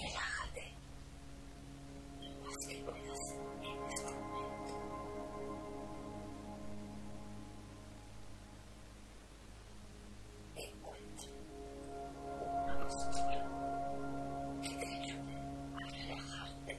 Relájate lo más que puedas en este momento. Encuentra una postura que te ayude a relajarte.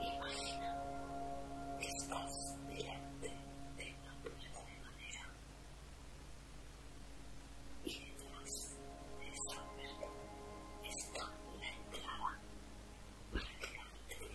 Imagina que estás delante de una puerta de madera y detrás de esa puerta está la entrada para el gran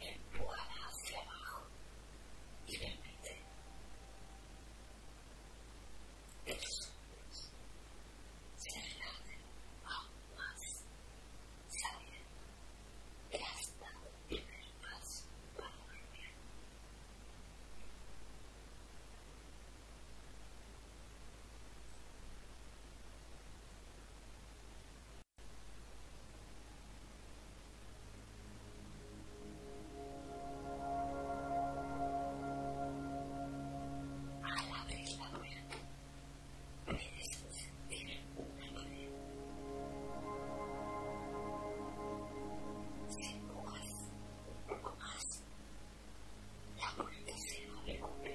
empuja hacia abajo y permite que tus hombros se relajen aún más, sabiendo que hasta el primer paso para dormir. A la vez la muerte, puedes sentir la muerte. Si, poco un poco más, la muerte se va a recuperar.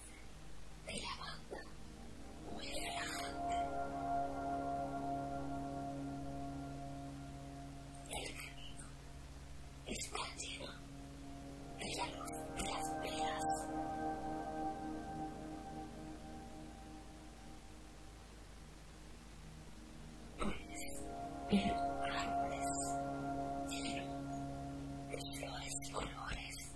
de la banda muy relajante. El camino está lleno de la luz de las velas. Puedes los árboles llenos de flores colores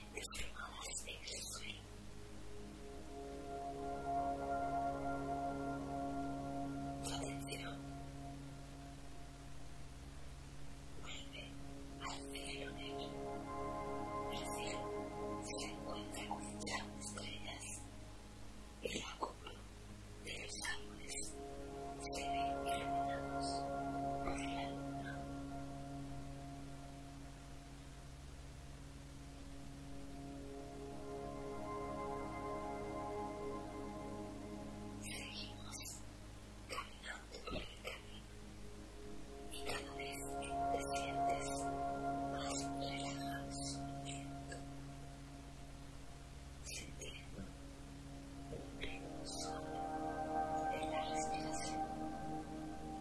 de del suelo. Su atención vuelve al cielo negro. El cielo se encuentra con muchas estrellas. y la cúpula de los árboles se ve iluminados por la luna. Seguimos caminando por el camino y cada vez que te sientes más relajado subiendo, sintiendo un pleno de la respiración.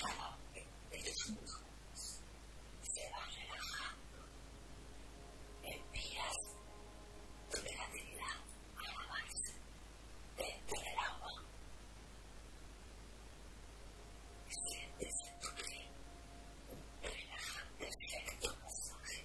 cada uno de estos músculos se va relajando empiezas tu creatividad a la base dentro del agua sientes en tu pie un relajante efecto pasaje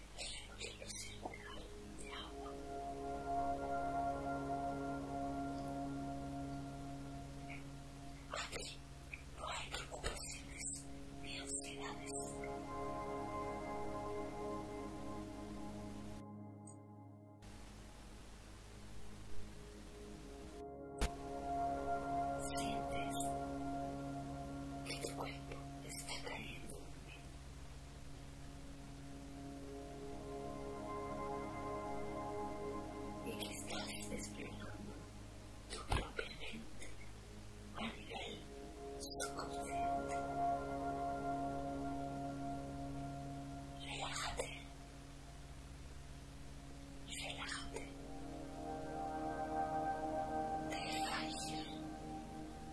aquí no hay preocupaciones ni ansiedades sientes que tu cuerpo está cayendo el que estás desplegando tu propia mente a nivel subconsciente tu relájate, relájate, desfalle.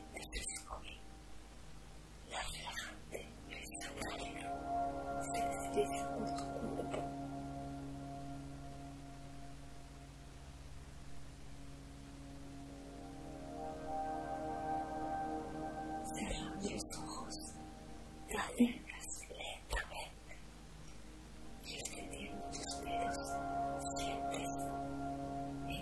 la gente la esconde, la relajante cristalina se desliza en tu cuerpo. los ojos, te abiertas lentamente y extendiendo tus dedos sientes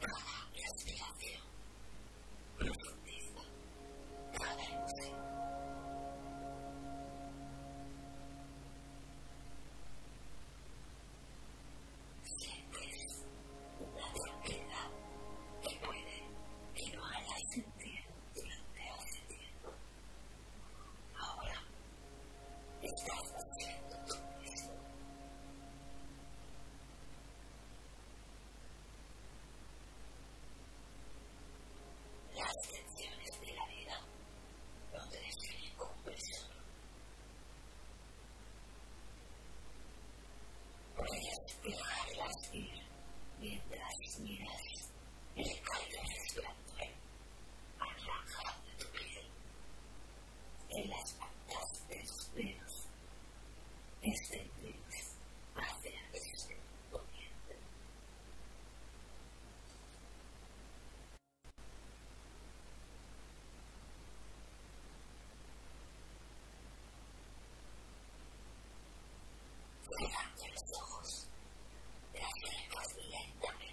Toda respiración profundiza cada emoción. Sientes la tranquilidad que puede que no sentir, sentir durante hace tiempo. Ahora estás haciendo tú eso. Las tensiones de la vida donde te definen como persona. Puedes dejarlas ir mientras miras el cálido resplandor de tu piel en las patas de los pelos extendidos hacia el sur poniente. Cerrando los ojos, las lenguas lentamente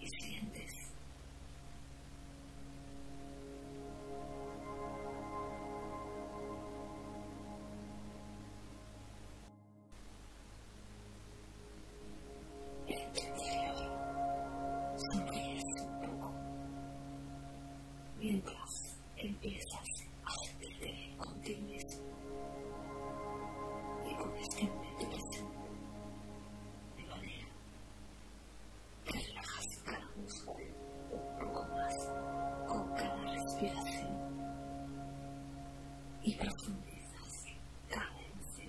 ¿Y sientes? el tu interior, sonríes un poco mientras empiezas a sentirte contigo mismo y con este de que Relajas cada músculo un poco más con cada respiración y profundizas cada sí.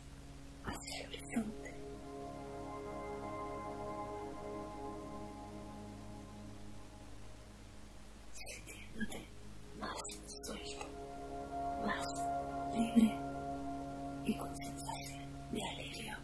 hacia el horizonte. Sintiéndote más suelto, más libre y con sensación de alegría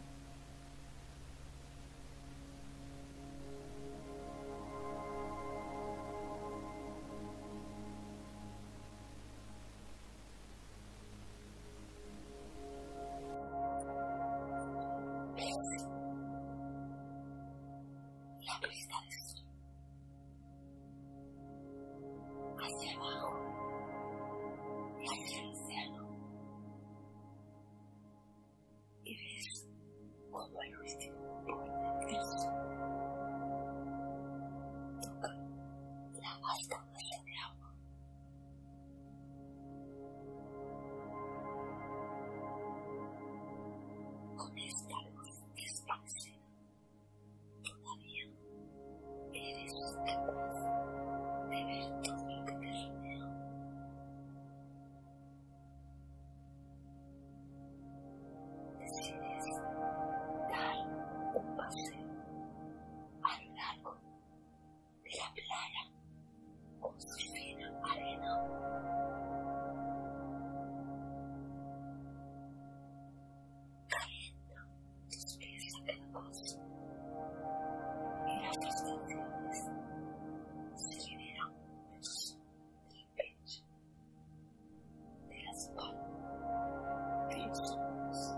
la vista de sol. Hacia abajo. Y hacia el cielo. Y ves cómo el último puño del sol toca la alta masa de agua. Con esta luz desvanecida, todavía eres capaz de ver todo lo que te rodea. Decides dar un paseo a lo largo de la playa con su fina arena. Calienta tus pies blancos y las frustraciones se liberan del pecho, de la espalda, de los ojos.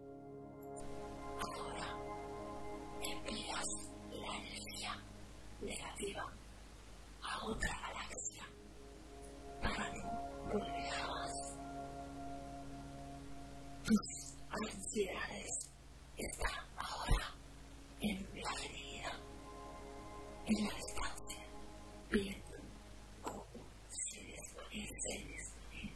Ahora envías la energía negativa a otra galaxia para no volver Tus ansiedades están ahora en la en la distancia, viendo cómo se desvanece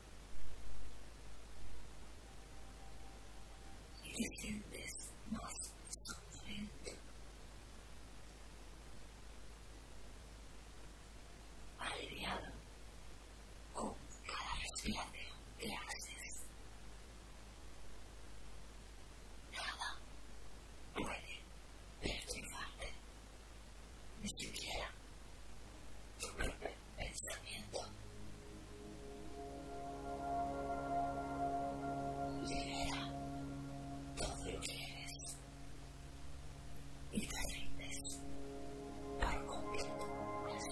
y te sientes más sufriendo? Aliviado con cada respiración que haces. Nada puede perjudicarte, ni siquiera pensamiento. Libera todo lo que y te rindes por completo al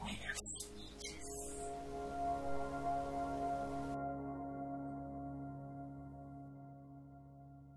Buenas noches.